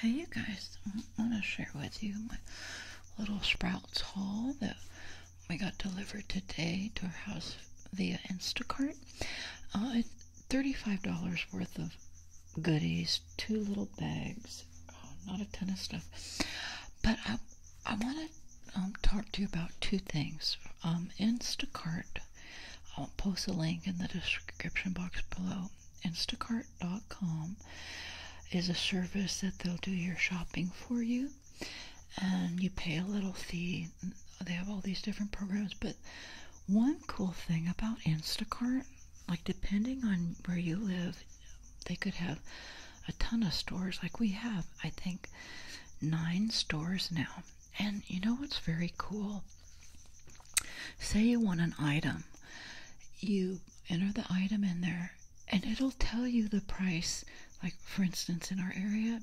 Hey you guys, I want to share with you my little Sprouts haul that we got delivered today to our house via Instacart. Uh, it's $35 worth of goodies, two little bags, uh, not a ton of stuff. But I, I want to um, talk to you about two things. Um, Instacart, I'll post a link in the description box below. Instacart.com is a service that they'll do your shopping for you and you pay a little fee. They have all these different programs, but one cool thing about Instacart, like depending on where you live, they could have a ton of stores. Like we have, I think, nine stores now. And you know what's very cool? Say you want an item, you enter the item in there and it'll tell you the price. Like, for instance, in our area,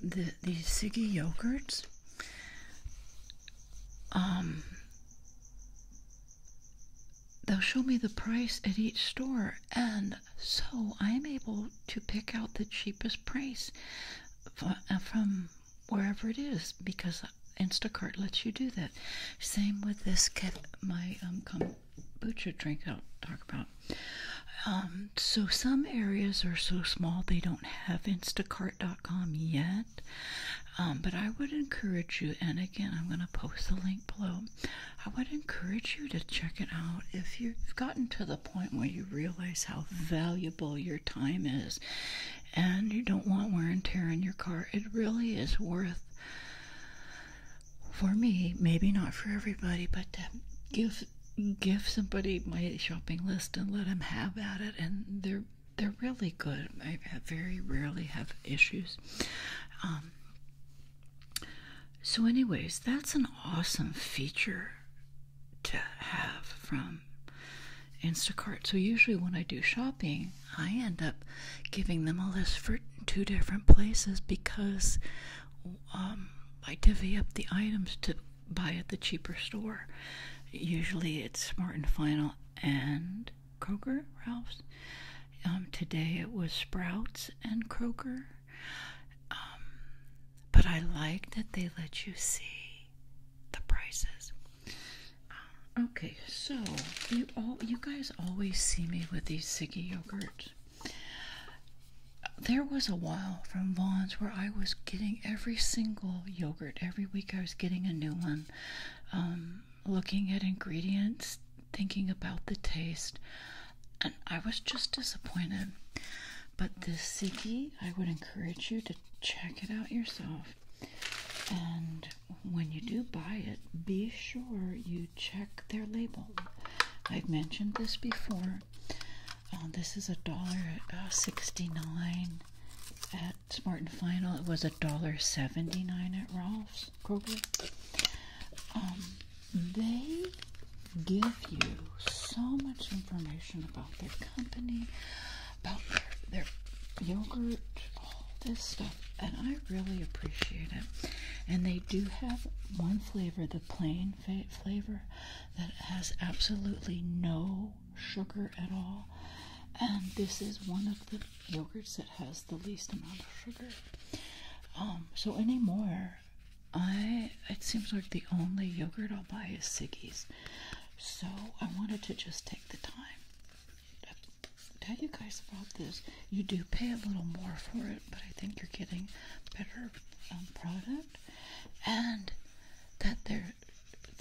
the, the Siggy yogurts, um, they'll show me the price at each store, and so I'm able to pick out the cheapest price uh, from wherever it is because Instacart lets you do that. Same with this my um, kombucha drink I'll talk about. Um, so some areas are so small they don't have Instacart.com yet. Um, but I would encourage you, and again, I'm going to post the link below. I would encourage you to check it out if you've gotten to the point where you realize how valuable your time is and you don't want wear and tear in your car. It really is worth, for me, maybe not for everybody, but give give somebody my shopping list and let them have at it, and they're they're really good. I very rarely have issues. Um, so, anyways, that's an awesome feature to have from Instacart. So usually when I do shopping, I end up giving them a list for two different places because um, I divvy up the items to buy at the cheaper store. Usually it's Smart and Final and Kroger, Ralph's. Um, today it was Sprouts and Kroger. Um, but I like that they let you see the prices. Um, okay, so you all you guys always see me with these Siggy yogurts. There was a while from Vaughn's where I was getting every single yogurt. Every week I was getting a new one. Um, looking at ingredients, thinking about the taste, and I was just disappointed. But this Siggy, I would encourage you to check it out yourself. And when you do buy it, be sure you check their label. I've mentioned this before. Uh, this is a dollar uh, sixty-nine at Smart and Final. It was a dollar seventy-nine at Ralph's Kroger. Um, they give you so much information about their company, about their, yogurt, all this stuff, and I really appreciate it. And they do have one flavor, the plain flavor, that has absolutely no sugar at all. And this is one of the yogurts that has the least amount of sugar. Um, so anymore, I it seems like the only yogurt I'll buy is Siggy's. So I wanted to just take the time to tell you guys about this. You do pay a little more for it, but I think you're getting better um, product, and that they're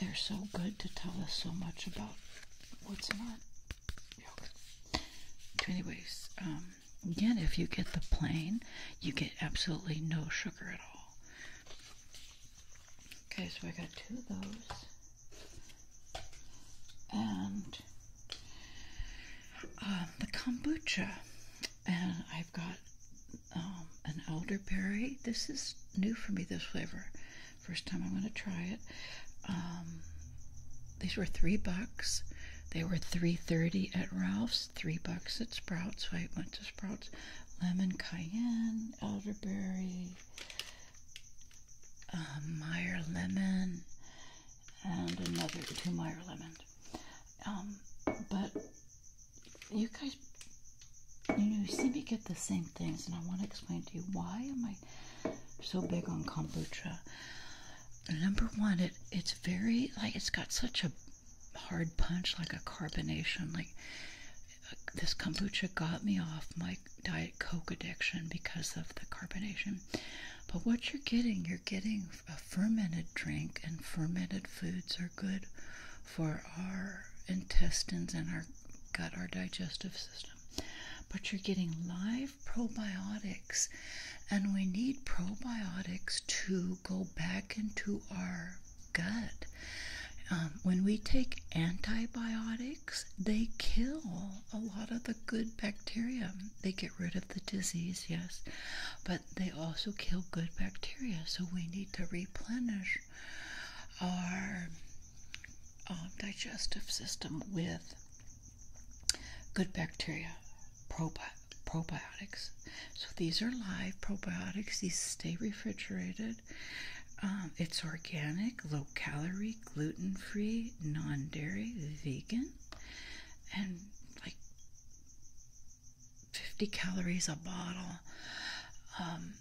they're so good to tell us so much about what's in our So anyways, um, again, if you get the plain, you get absolutely no sugar at all. Okay, so I got two of those. And um, the kombucha. And I've got um, an elderberry. This is new for me, this flavor. First time I'm going to try it. Um, these were three bucks. They were three thirty at Ralph's, three bucks at Sprouts. So I went to Sprouts lemon cayenne, elderberry, uh, Meyer lemon, and another two Meyer lemon. Um, but you guys, you know, you see me get the same things, and I want to explain to you why am I so big on kombucha. Number one, it it's very like it's got such a hard punch, like a carbonation. Like this kombucha got me off my Diet Coke addiction because of the carbonation. But what you're getting, you're getting a fermented drink, and fermented foods are good for our intestines and our gut, our digestive system. But you're getting live probiotics, and we need probiotics to go back into our gut. Um, when we take antibiotics, they kill a lot of the good bacteria. They get rid of the disease, yes, but they also kill good bacteria. So we need to replenish our um, digestive system with good bacteria, probiotics. So these are live probiotics. These stay refrigerated. Um, it's organic, low calorie, gluten free, non dairy, vegan, and like 50 calories a bottle. Um,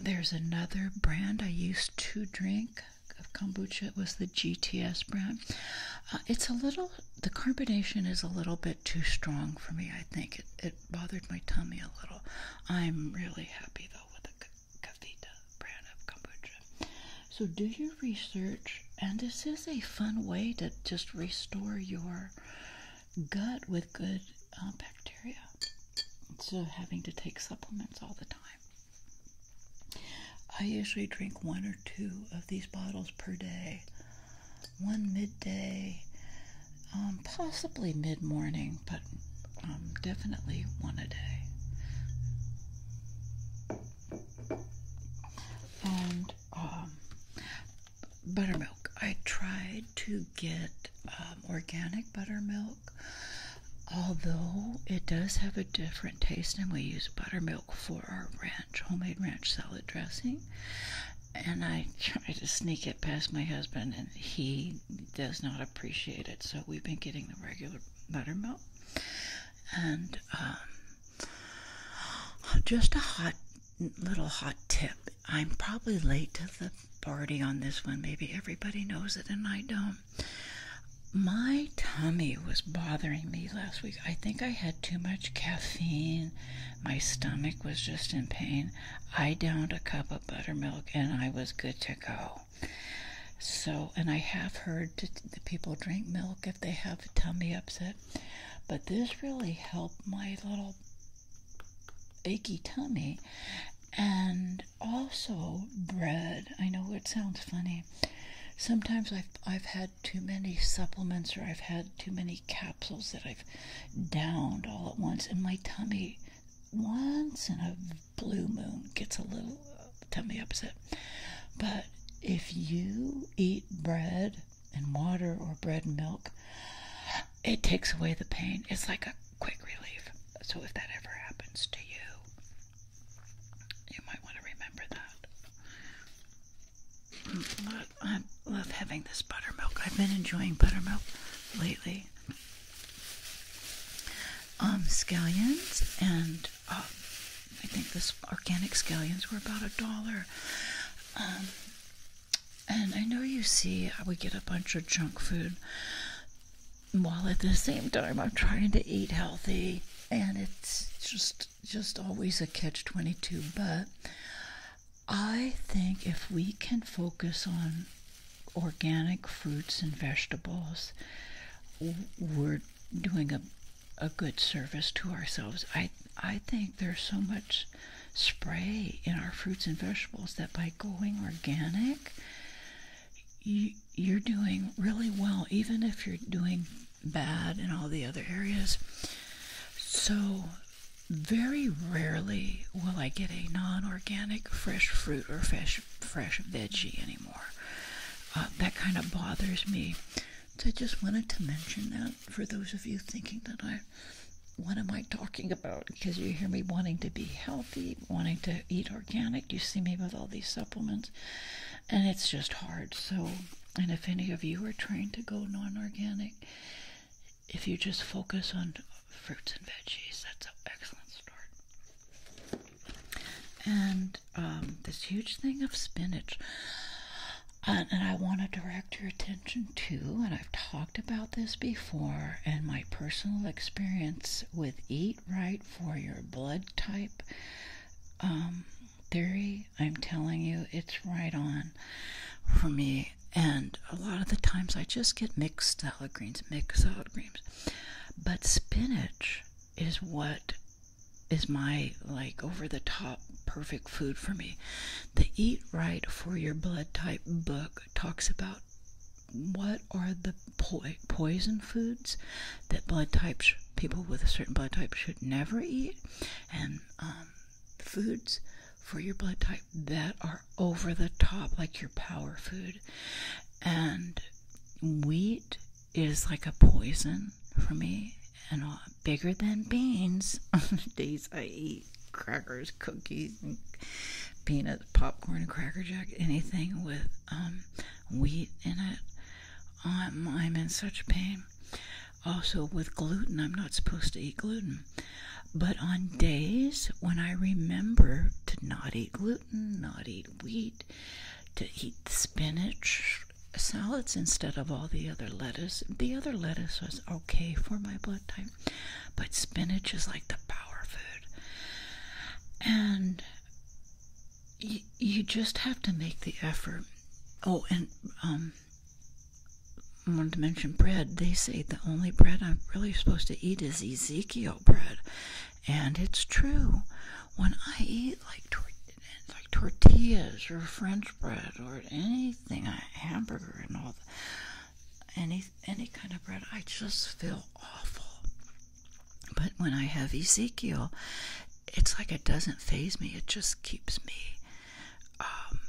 there's another brand I used to drink of kombucha. It was the GTS brand. Uh, it's a little, the carbonation is a little bit too strong for me, I think. it bothered my tummy a little. I'm really happy though with the Kavita brand of kombucha. So do your research, and this is a fun way to just restore your gut with good uh, bacteria instead of having to take supplements all the time. I usually drink one or two of these bottles per day one midday, um, possibly mid morning, but um, definitely one a day. And um, buttermilk. I tried to get organic buttermilk, although it does have a different taste, and we use buttermilk for our ranch, homemade ranch salad dressing and I try to sneak it past my husband, and he does not appreciate it. So we've been getting the regular buttermilk and um, just a hot little hot tip. I'm probably late to the party on this one. Maybe everybody knows it and I don't. My tummy was bothering me last week. I think I had too much caffeine my stomach was just in pain. I downed a cup of buttermilk and I was good to go. So, and I have heard that people drink milk if they have a tummy upset, but this really helped my little achy tummy. And also bread. I know it sounds funny. Sometimes I've, I've had too many supplements or I've had too many capsules that I downed all at once, and my tummy, once in a blue moon, gets a little uh, tummy upset. But if you eat bread and water or bread and milk, it takes away the pain. It's like a quick relief. So if that ever happens to you, you might want to remember that. I love having this buttermilk. I've been enjoying buttermilk lately. Um, scallions and um, I think this organic scallions were about a dollar. Um, and I know you see I uh, would get a bunch of junk food while at the same time I'm trying to eat healthy and it's just just always a catch 22 but I think if we can focus on organic fruits and vegetables, we're doing a, a good service to ourselves. I, I think there's so much spray in our fruits and vegetables that by going organic, you, are doing really well, even if you're doing bad in all the other areas. So very rarely will I get a non-organic fresh fruit or fresh fresh veggie anymore. Uh, that kind of bothers me. So I just wanted to mention that for those of you thinking that I, what am I talking about? Because you hear me wanting to be healthy, wanting to eat organic. You see me with all these supplements, and it's just hard. So, and if any of you are trying to go non-organic, if you just focus on fruits and veggies, that's an excellent start. And um, this huge thing of spinach. and I want to direct your attention to, and I've talked about this before, and my personal experience with Eat Right for Your Blood Type um, theory, I'm telling you, it's right on for me. And a lot of the times I just get mixed salad greens, mixed salad greens. But spinach is what is my like over the top perfect food for me. The Eat Right for Your Blood Type book talks about what are the poison foods that blood types people with a certain blood type should never eat and um, foods for your blood type that are over the top, like your power food. And wheat is like a poison for me, and bigger than beans. On days I eat crackers, cookies, and peanuts, popcorn, and cracker jack, anything with um, wheat in it, um, I'm in such pain. Also, with gluten, I'm not supposed to eat gluten. But on days when I remember to not eat gluten, not eat wheat, to eat spinach salads instead of all the other lettuce, the other lettuce was okay for my blood type, but spinach is like the power food. And you, you just have to make the effort. Oh, and um, I wanted to mention bread. They say the only bread I'm really supposed to eat is Ezekiel bread, and it's true. When I eat like tor like tortillas or French bread or anything, a hamburger and all, the, any any kind of bread, I just feel awful. But when I have Ezekiel, it's like it doesn't phase me. It just keeps me um,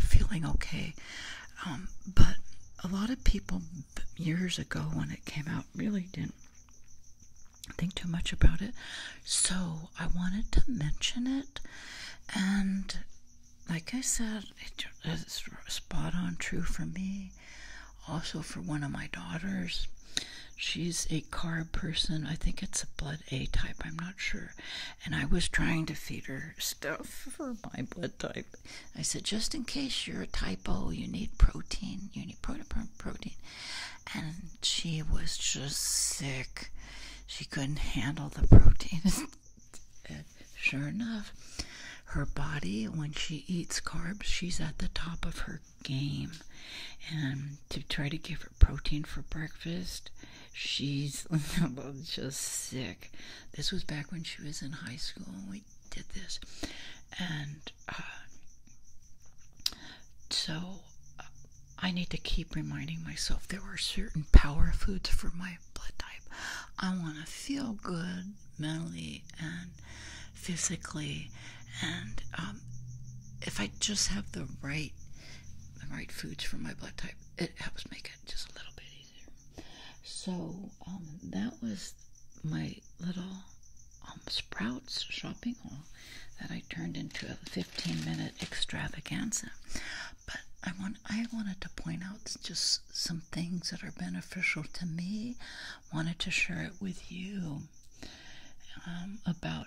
feeling okay. Um, but a lot of people years ago when it came out really didn't think too much about it. So I wanted to mention it. And like I said, it's spot on true for me. Also for one of my daughters. She's a carb person. I think it's a blood A type. I'm not sure and I was trying to feed her stuff for my blood type. I said, just in case you're a type O, you need protein. You need protein. protein. And she was just sick. She couldn't handle the protein. sure enough, her body, when she eats carbs, she's at the top of her game. And to try to give her protein for breakfast, She's just sick. This was back when she was in high school and we did this. And uh, so uh, I need to keep reminding myself there are certain power foods for my blood type. I want to feel good mentally and physically. And um, if I just have the right the right foods for my blood type. It helps make it just a little bit easier. So um, that was my little um, Sprouts shopping haul that I turned into a 15-minute extravaganza. But I want I wanted to point out just some things that are beneficial to me. Wanted to share it with you um, about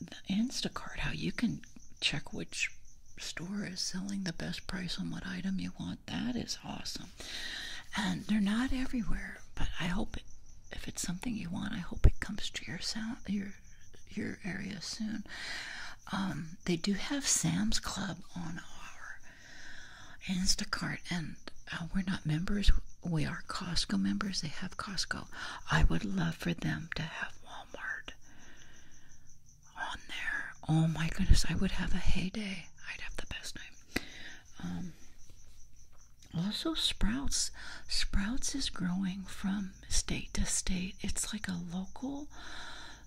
the Instacart, how you can check which store is selling the best price on what item you want. That is awesome. And they're not everywhere, but I hope it, if it's something you want, I hope it comes to your sound, your your area soon. Um, they do have Sam's Club on our Instacart, and uh, we're not members. We are Costco members. They have Costco. I would love for them to have Walmart on there. Oh my goodness, I would have a heyday. I'd have the best time. Um, also, Sprouts. Sprouts is growing from state to state. It's like a local,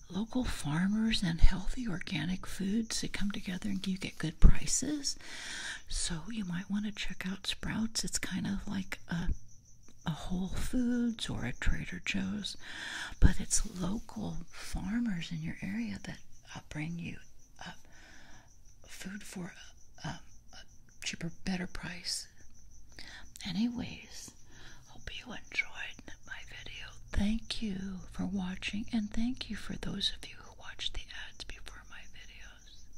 local farmers and healthy organic foods that come together and you get good prices. So you might want to check out Sprouts. It's kind of like a a Whole Foods or a Trader Joe's, but it's local farmers in your area that uh, bring you food for uh, a, cheaper, better price. Anyways, hope you enjoyed my video. Thank you for watching, and thank you for those of you who watched the ads before my videos.